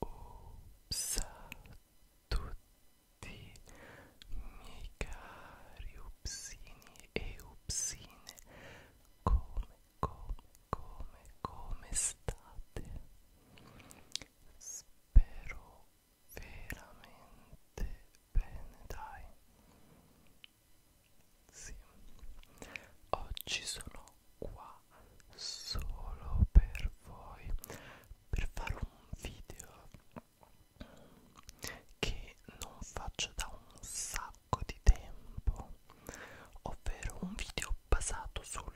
Ups tutti miei cari upsini e upsine come come come come state spero veramente bene dai sì oggi sono qua solo per voi per fare un video che non faccio da un sacco di tempo ovvero un video basato sul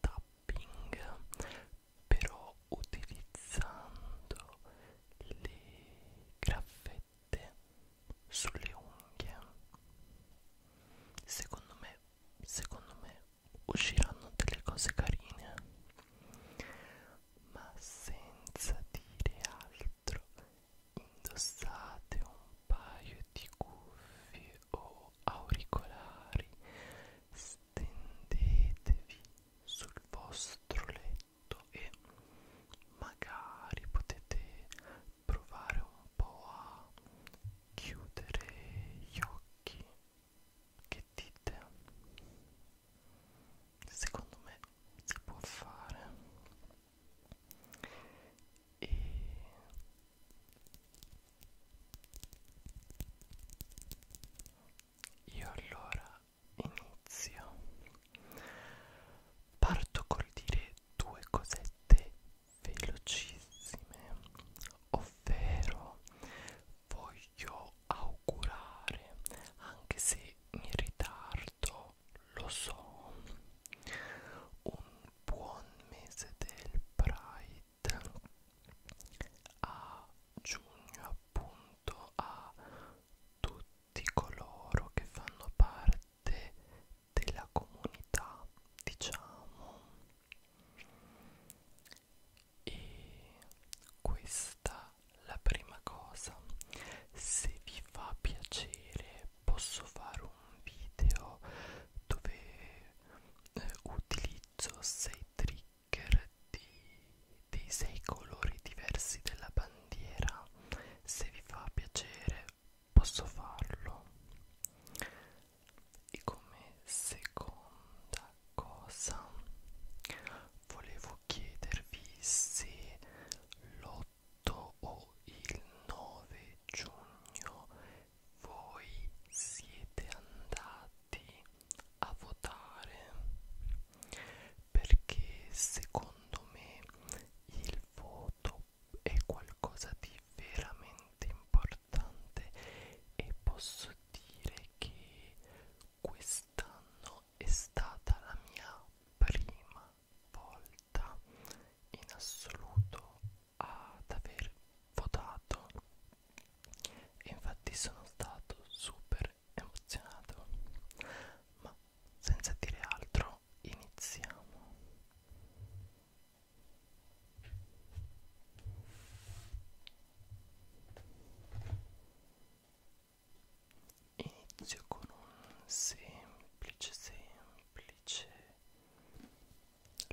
tap tapping però utilizzando le graffette sulle unghie secondo me secondo me usciranno delle cose carine ma senza dire altro indossate un paio di cuffie o auricolari stendetevi sul vostro letto e magari potete provare un po' a chiudere gli occhi che dite secondo me si può fare e io allora inizio. Parto col dire due cosette velocissime, ovvero voglio augurare, anche se in ritardo lo so, un buon mese del Pride a giugno appunto a tutti coloro che fanno parte della comunità diciamo e questa la prima cosa se vi fa piacere posso fare un video dove eh, utilizzo utilizzo sei trigger di, dei sei colori diversi della bandiera se vi fa piacere posso farlo e come seconda cosa volevo chiedervi se l'8 o il 9 giugno voi siete andati a votare perché secondo me il voto è qualcosa di veramente importante e posso dire che quest'anno è stata la mia prima volta in assoluto ad aver votato e infatti sono stato super emozionato ma senza dire altro iniziamo inizio con un semplice semplice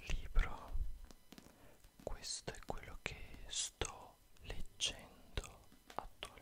libro questo è quello che sto leggendo attualmente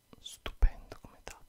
stupendo come tapping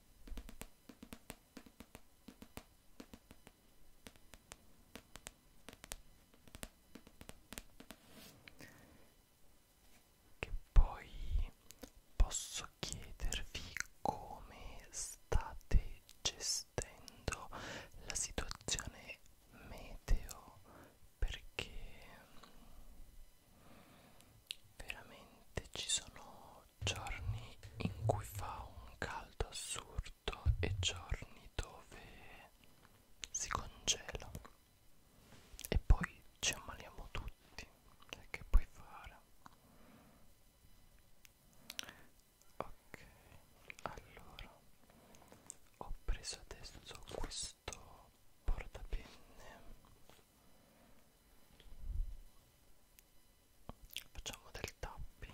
che poi posso chiedervi come state gestendo la situazione meteo perché veramente ci sono giorni in cui fa un caldo assurdo e giorni dove si congela e poi ci ammaliamo tutti e che puoi fare ok allora ho preso adesso questo portapenne facciamo del tapping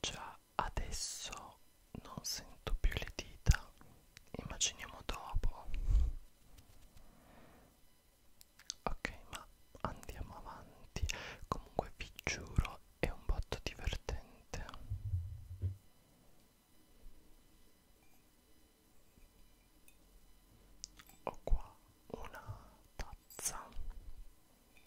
già adesso non sento più le dita immaginiamo dopo ok ma andiamo avanti comunque vi giuro è un botto divertente ho qua una tazza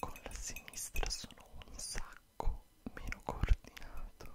Con la sinistra sono un sacco meno coordinato.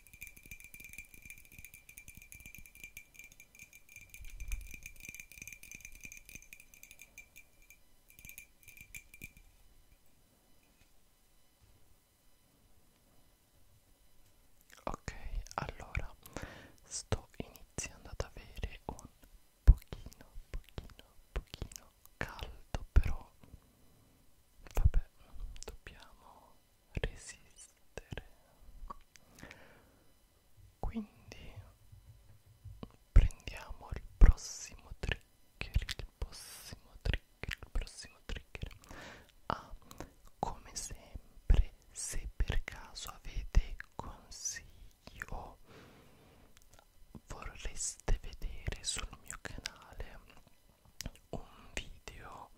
Ok, allora sto iniziando ad avere un pochino, pochino, pochino caldo, però vabbè, dobbiamo resistere quindi prendiamo il prossimo trigger il prossimo trigger il prossimo trigger ah, come sempre se per caso avete consigli o vorreste vedere sul mio canale un video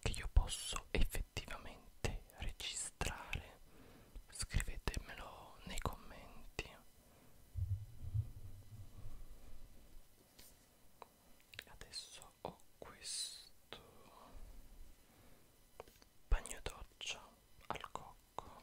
che io posso effettivamente registrare scrivetemelo nei commenti adesso ho questo bagno doccia al cocco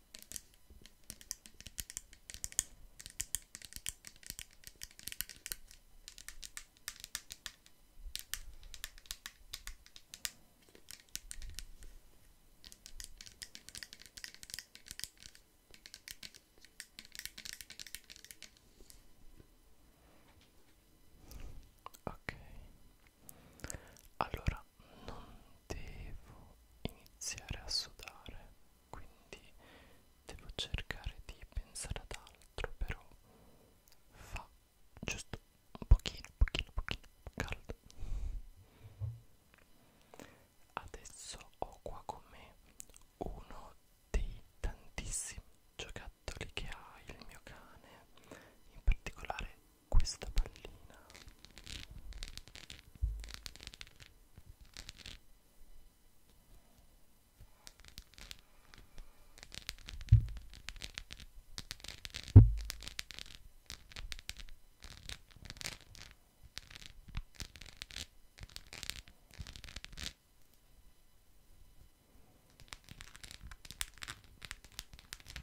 Ok, allora ma non devo iniziare a sudare quindi devo cercare di pensare ad altro però fa giusto un pochino pochino pochino caldo adesso ho qua con me uno dei tantissimi giocattoli che ha il mio cane in particolare questa pallina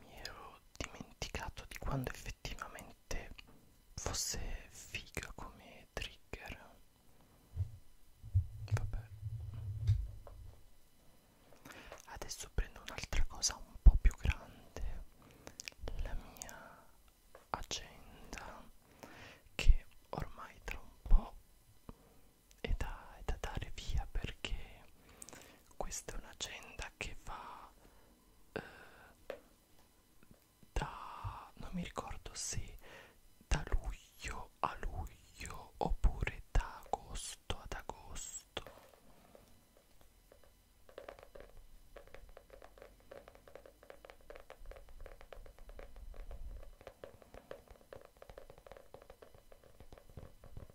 mi ero dimenticato di quando effettivamente fosse figa come trigger vabbè adesso prendo un'altra cosa un po' più grande la mia agenda che ormai tra un po' è da, è da dare via perché questa è un'agenda che va eh, da non mi ricordo se da luglio a luglio oppure da agosto ad agosto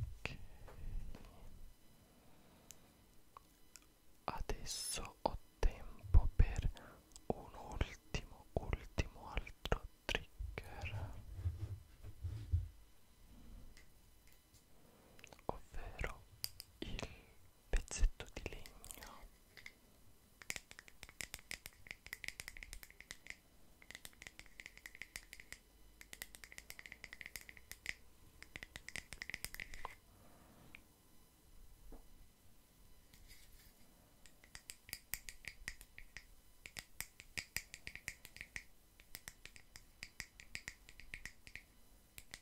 Ok. Adesso ho tempo per un ultimo, ultimo altro trigger. Ovvero il pezzetto di legno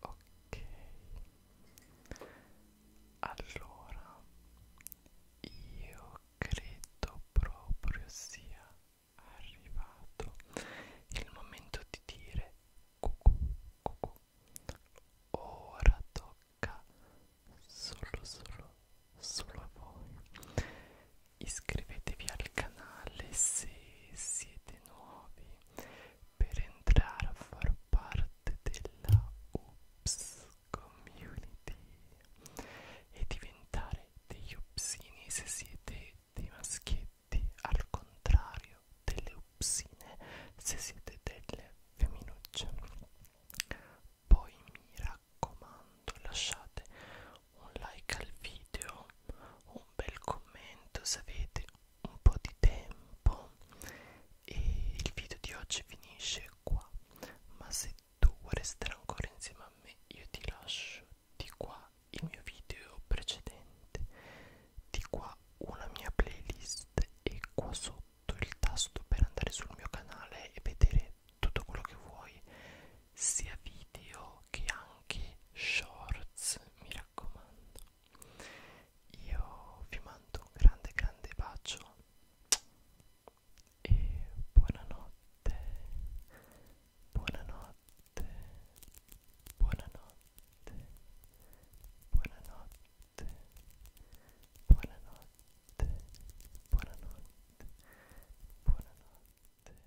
ok allora io credo proprio sia arrivato il momento di dire cucù cucù ora tocca solo solo solo a voi iscrivetevi al canale se siete nuovi per entrare a far parte della Ups Community e diventare degli upsini se siete dei maschietti, al contrario delle upsine se siete delle femminucce. Poi mi raccomando, lasciate un like al video un bel commento se avete un po' di tempo e il video di oggi finisce qua ma se tu vuoi restare ancora insieme a me io ti lascio di qua il mio video precedente di qua una mia playlist e qua sotto il tasto per andare sul mio canale e vedere tutto quello che vuoi sia video che anche shorts mi raccomando io vi mando un grande grande bacio e buonanotte buonanotte buonanotte buonanotte buonanotte buonanotte buonanotte